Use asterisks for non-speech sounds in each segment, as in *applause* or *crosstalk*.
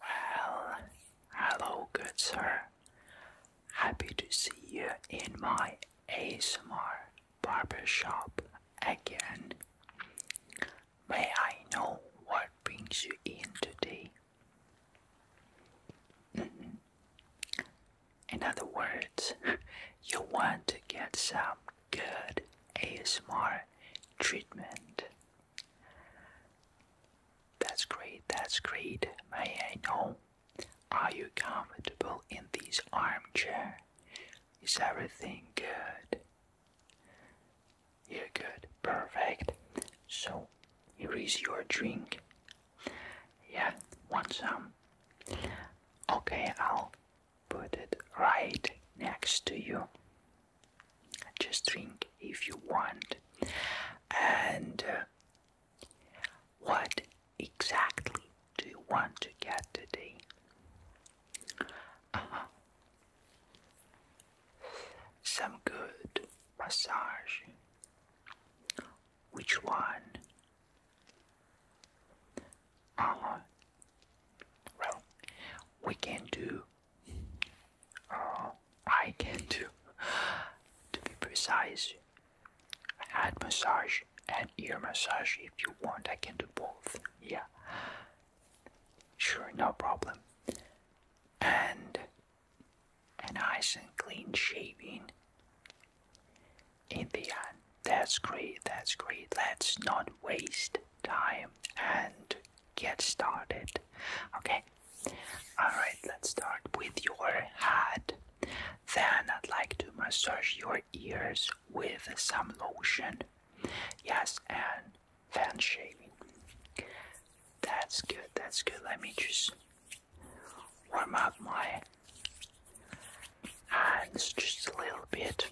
Well, hello, good sir. Happy to see you in my ASMR barber shop again. May I know what brings you in today? Mm-hmm. In other words, *laughs* you want to get some good ASMR treatment. That's great, that's great. May I know? Are you comfortable in this armchair? Is everything good? You're good, perfect. So, here is your drink. Yeah, want some? Okay, I'll put it right next to you. Just drink if you want. And uh, what exactly do you want to get today? Uh-huh. Some good massage. Which one? Uh Well, we can do Oh, I can do. to be precise, head massage and ear massage. If you want, I can do both. Yeah. Sure, no problem. And a nice and clean shaving in the end. That's great, that's great. Let's not waste time and get started. Okay, alright, let's start with your head. Then I'd like to massage your ears with some lotion. Yes, and fan shaving. That's good, that's good. Let me just warm up my hands just a little bit.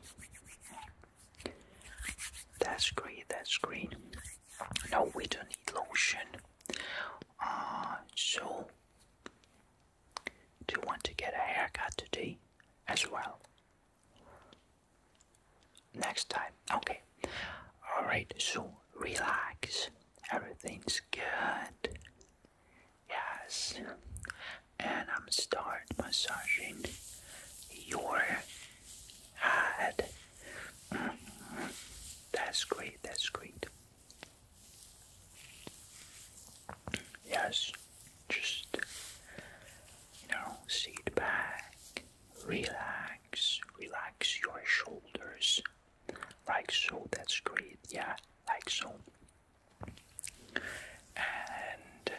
That's great, that's great. No, we don't need lotion. Uh, so, do you want to get a haircut today as well? Next time, okay. Alright, so relax. Everything's good. Yes. And I'm start massaging your head. That's great, that's great. Yes, just, you know, sit back, relax, relax your shoulders. Like so, that's great, yeah, like so. And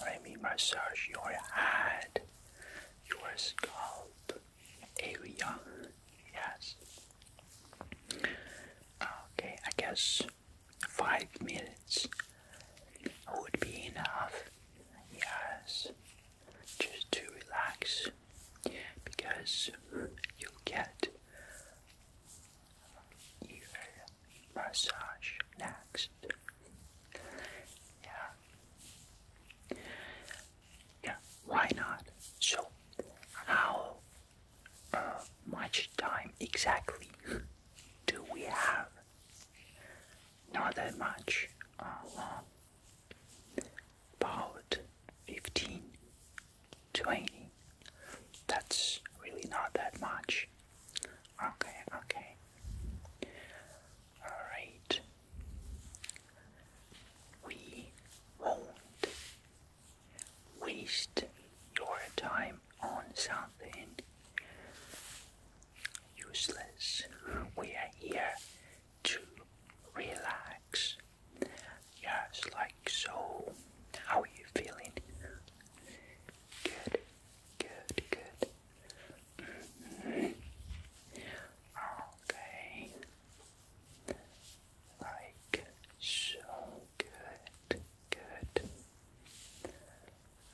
let me massage your head, your scalp area. Yes. Okay, I guess five minutes would be enough. Yes, just to relax because you get your massage next. Yeah, yeah, why not? So, how uh, much time exactly do we have? Not that much. Uh, about 15, 20. That's really not that much. Okay, okay. Alright. We won't waste your time on something useless. We are here to relax. Yes, like so. How are you feeling? Good, good, good. Okay. Like so good, good.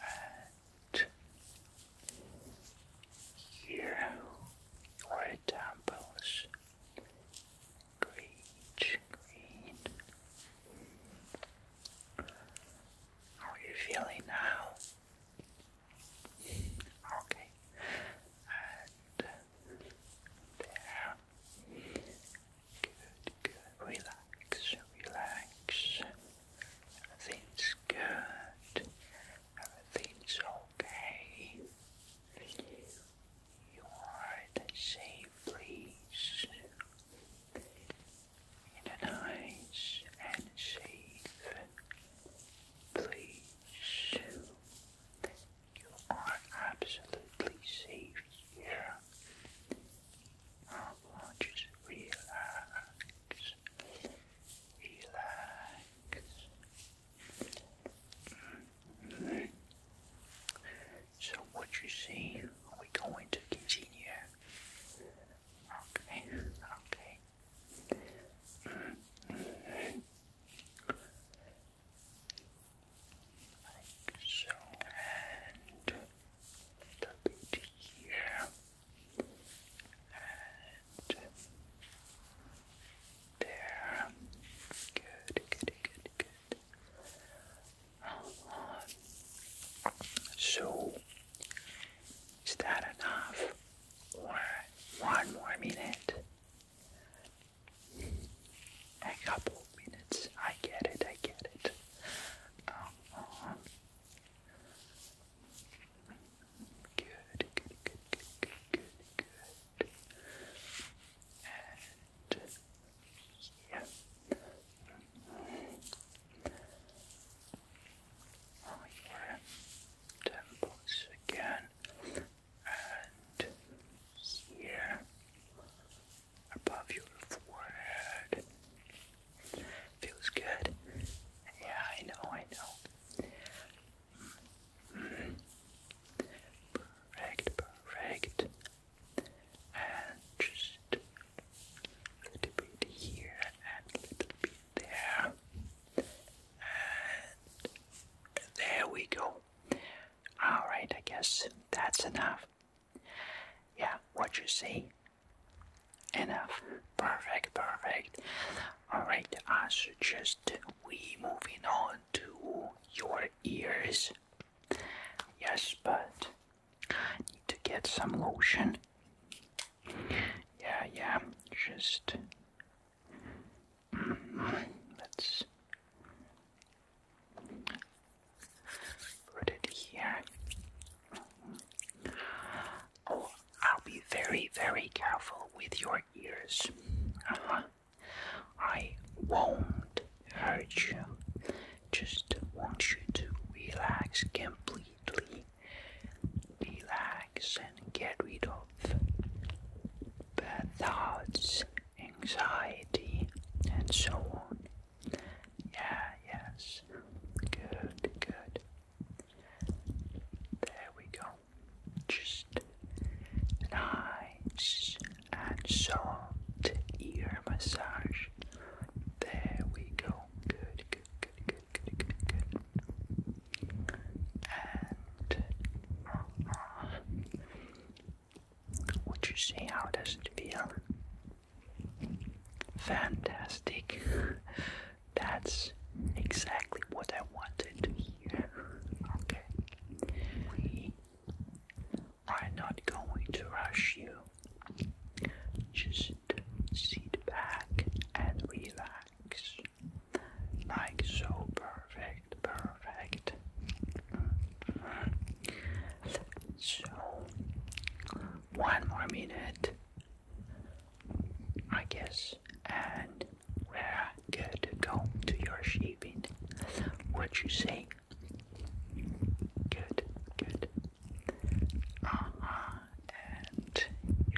And here are temples. Green, green. How are you feeling now? Okay, and there. Good, good. Relax, relax. Everything's good. Everything's okay. You are safe place in a nice and safe place. You are absolutely safe here. I want to relax, relax. Mm-hmm. So what you Are we're going to continue Okay, okay. so, and here, and there. Good, good, good, good. So is that enough? Or one more minute? A couple minutes. I get it, I get it. Good, good, good, good, good, good, yeah your temples again, and here above your forehead. Feels good. Yeah, I know, I know. Perfect, perfect. And just a little bit here and a little bit there. And there we go. Alright, I guess that's enough. Yeah, what you see? Enough. Perfect, perfect. Alright, I suggest we moving on to your ears. Yes, but Need to get some lotion. Yeah, yeah, just. Mm, let's put it here. Oh, I'll be very, very careful with your ears. Uh-huh. I won't hurt you. Just want you to relax completely relax and get rid of bad thoughts, anxiety, and so on. Yeah, yes. Good, good. There we go. Just nice and soft ear massage. There we go. good good, good, good, good, good. And uh, would you say how does it feel? Fantastic. That's exactly what I wanted to hear. Okay. We are not going to rush you. Just sit back and relax. Like so, perfect, perfect. So, one more minute, I guess, and we're good to go to your sleeping. What you say? Good, good uh -huh. and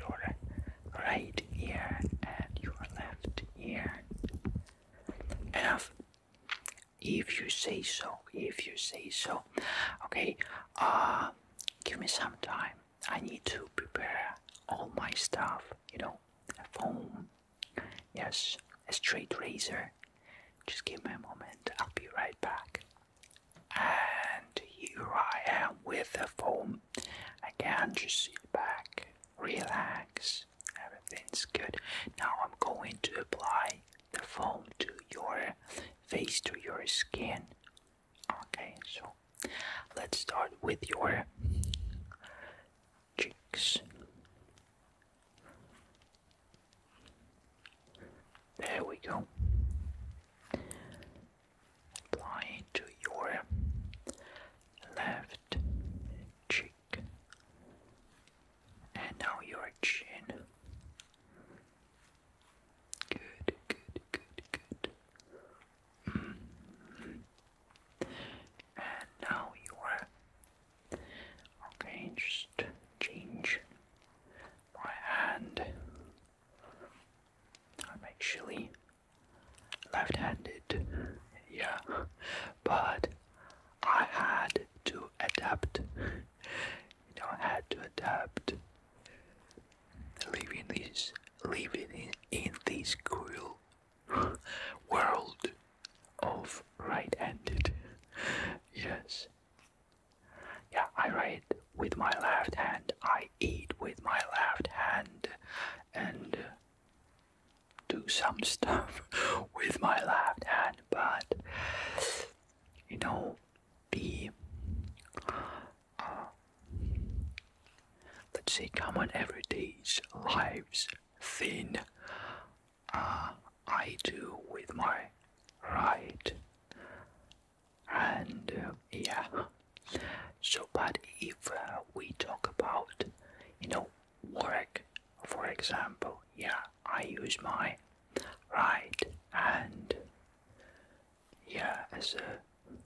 your right ear and your left ear. Enough. If you say so, if you say so. Okay, uh, give me some time. I need to prepare all my stuff, you know, a phone, yes, a straight razor. Just give me a moment, I'll be right back and here I am with the foam again. Just sit back, relax, everything's good. Now I'm going to apply the foam to your face, to your skin. Okay, so let's start with your cheeks. There we go. Apply to your left cheek and now your chin. Good, good, good, good. Mm-hmm. And now you okay. Just change my hand. I'm actually left handed, yeah, but I had to adapt. You know, I had to adapt living this living in, in this cruel world of right handed yes yeah, I write with my left hand, I eat with my left hand, and do some *laughs* stuff with my left hand, but you know, the uh, let's say common everyday's lives thin uh, I do with my right and yeah so but if uh, we talk about you know work for example yeah I use my right and yeah as a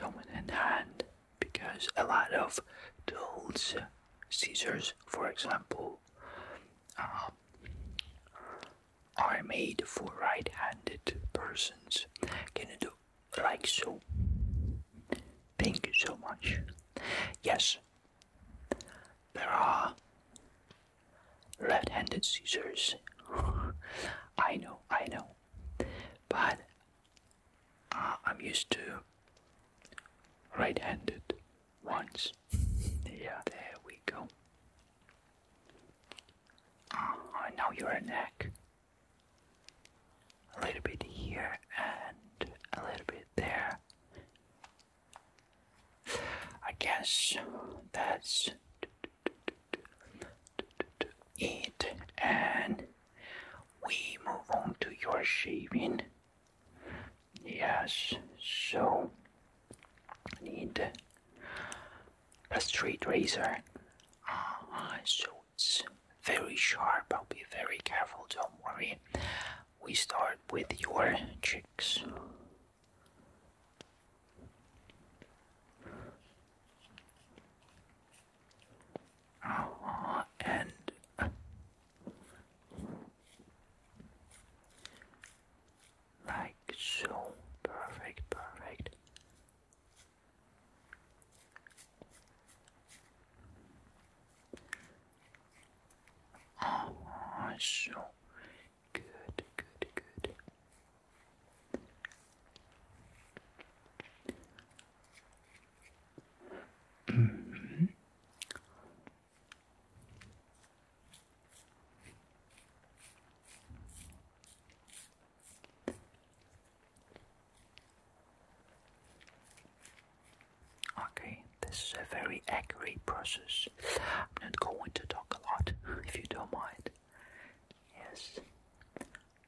dominant hand because a lot of tools scissors for example are. Uh, are made for right-handed persons. Can you do like so? Thank you so much. Yes, there are left-handed scissors. *sighs* I know, I know, but uh, I'm used to right-handed once. yeah. There we go. Uh ah, -huh, now your neck. A little bit here and a little bit there. I guess that's it, and we move on to your shaving. Yes, so need a straight razor. Ah, so it's very sharp. I'll be very careful, don't worry. We start with your cheeks. Ah, and like so. Perfect, perfect. Oh, so good, good, good. -hmm. Okay, this is a very accurate process. I'm not going to talk a lot *laughs* if you don't mind. Yes,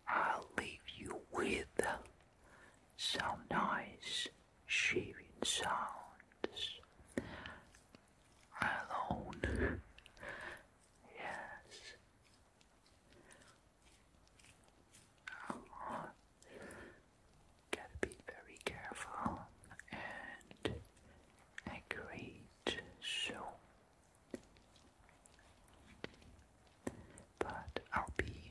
I'll leave you with some nice shearing sounds alone. yes. Uh Gotta be very careful and accurate so but I'll be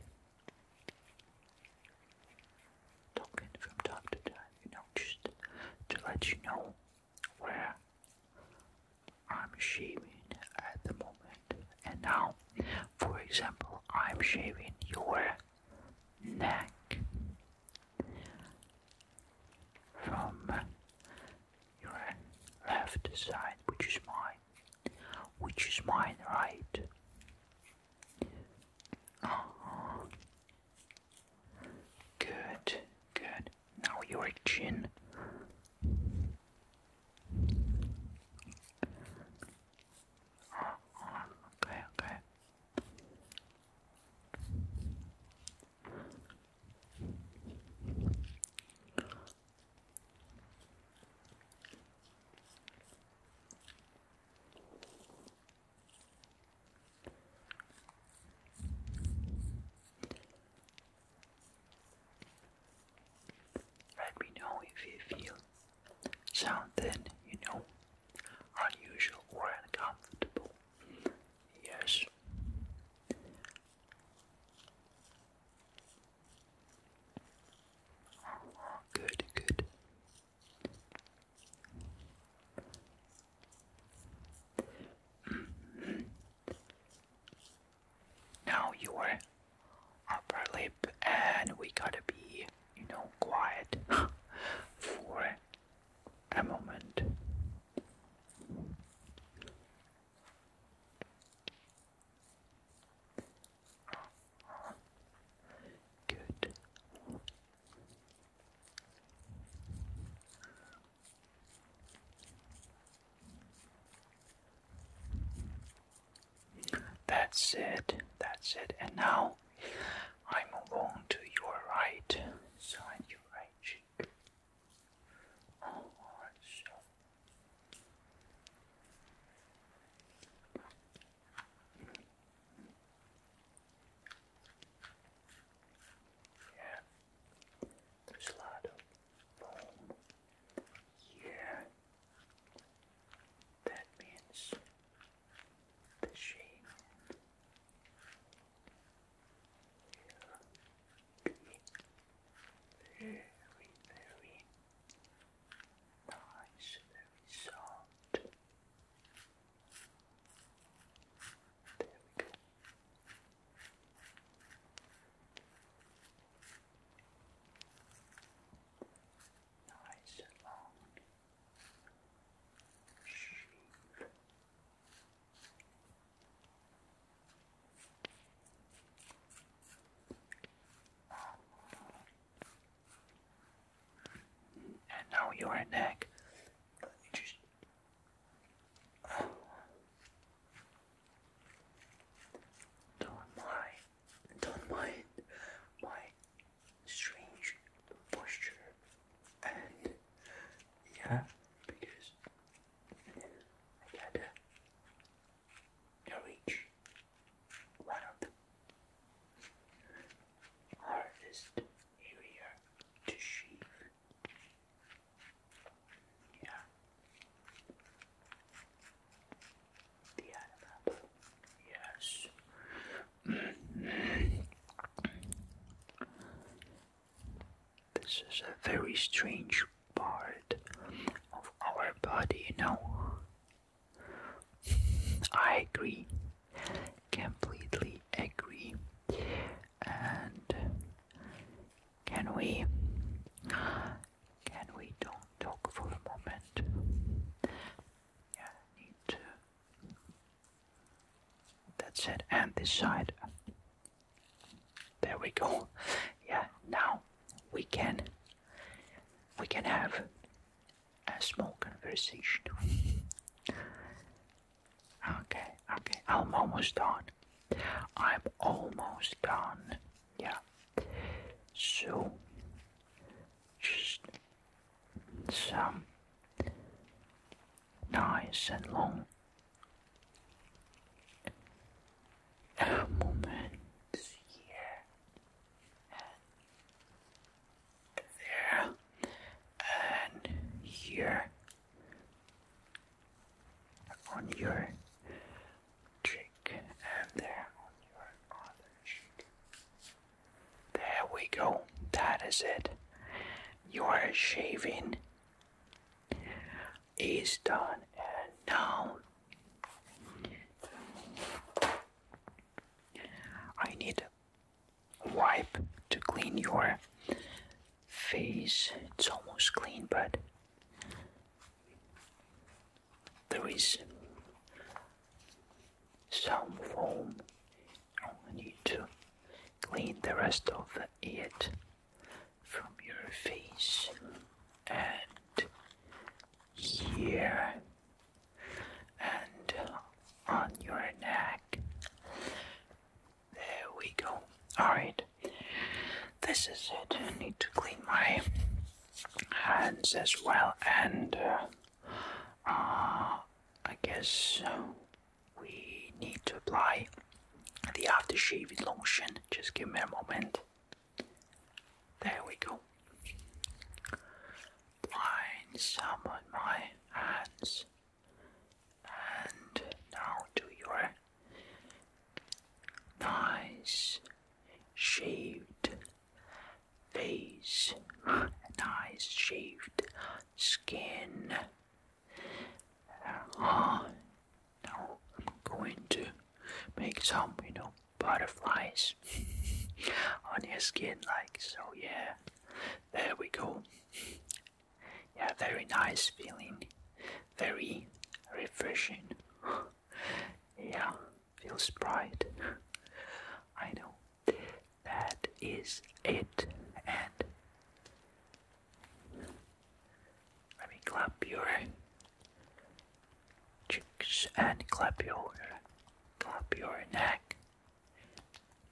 talking from time to time, you know, just to let you know where I'm shaving at the moment. And now, for example, I'm shaving your neck from your left side, which is mine, which is mine, right? Oh. Good, good. Now your chin. Oh, okay, okay. Let me know if you feel something, you know, unusual or uncomfortable. Yes. Oh, good, good now your upper lip, and we gotta be, you know, quiet *laughs* for a moment. Good. That's it, that's it. And now I move on to your right side, your right cheek. Yeah. There's a foam. Yeah. That means the shape. Will very, very nice, very soft. There we go. Nice long shave. And now you are neck. Let Don't mind. Don't mind my strange posture. And yeah, because I gotta reach one of the hardest area to sheep. Yeah. The animal. Yes. this is a very strange part of our body, you know. I agree, completely agree. And can we, can we don't talk for a moment? Yeah, need to. That's it, and this There we go. Yeah, now we can, we can have a small conversation. okay, okay, I'm almost done. I'm almost done. Yeah. So, just some nice and long moments here there, and here on your cheek, and there on your other cheek. There we go, that is it. Your shaving is done, and now I need wipe to clean your face. It's almost clean, but there is some foam. I need to clean the rest of it from your face and here and on your neck. There we go. Alright, this is it. I need to clean my hands as well, and uh, uh, I guess we need to apply the aftershave lotion. Just give me a moment. There we go. Line some on my hands and now to your nice shaved face, nice shaved skin. Uh, now I'm going to make some, you know, butterflies *laughs* on your skin like so yeah there we go yeah very nice feeling very refreshing *gasps* yeah feels bright i know that is it and let me clap your cheeks and clap your clap your neck.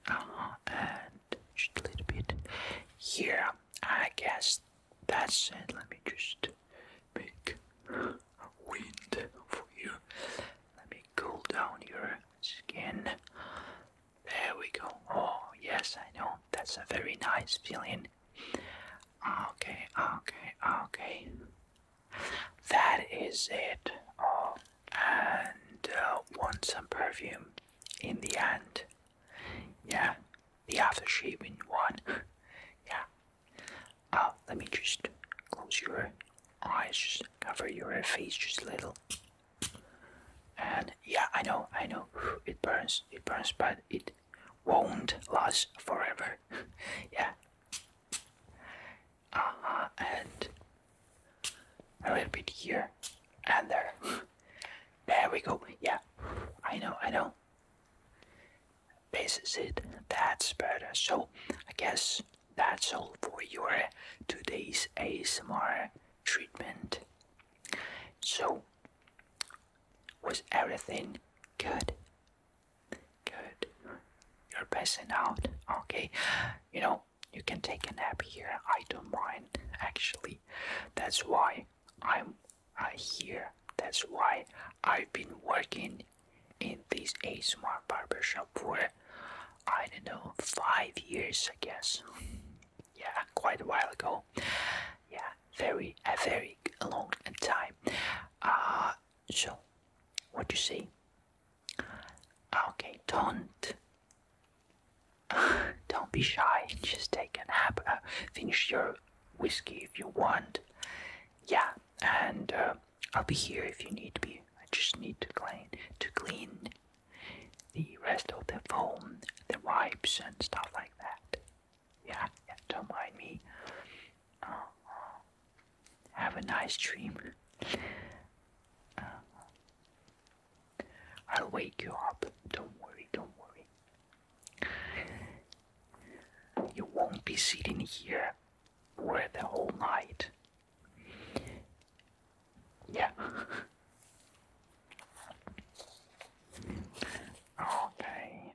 Uh-huh, and just a little bit here. I guess that's it. Let me just make a wind for you. Let me cool down your skin. There we go. Oh yes, I know. That's a very nice feeling. Okay, okay, okay. That is it. Oh, and uh, want some perfume in the end. Yeah, the after in one. yeah. Uh, let me just close your eyes, just cover your face just a little. And yeah, I know, I know, it burns, it burns, but it won't last forever. *laughs* yeah. Uh and a little bit here and there. *laughs* there we go. Yeah, I know, I know. This is it. That's better. So I guess that's all for your today's ASMR treatment. So was everything good? Good. You're passing out. Okay. You know, you can take a nap here. I don't mind, actually. That's why I'm uh, here. That's why I've been working in this A Smart Barber Shop for, I don't know, five years, I guess. yeah, quite a while ago. Yeah, very, a very long time. Uh, so what do you say? Okay, don't *laughs* don't be shy. Just take a nap. Uh, finish your whiskey if you want. Yeah, and uh, I'll be here if you need me. I just need to clean to clean the rest of the foam, the wipes, and stuff like that. Yeah, don't mind me. have a nice dream. Uh, I'll wake you up. Don't worry, don't worry. You won't be sitting here for the whole night. Yeah. *laughs* Okay.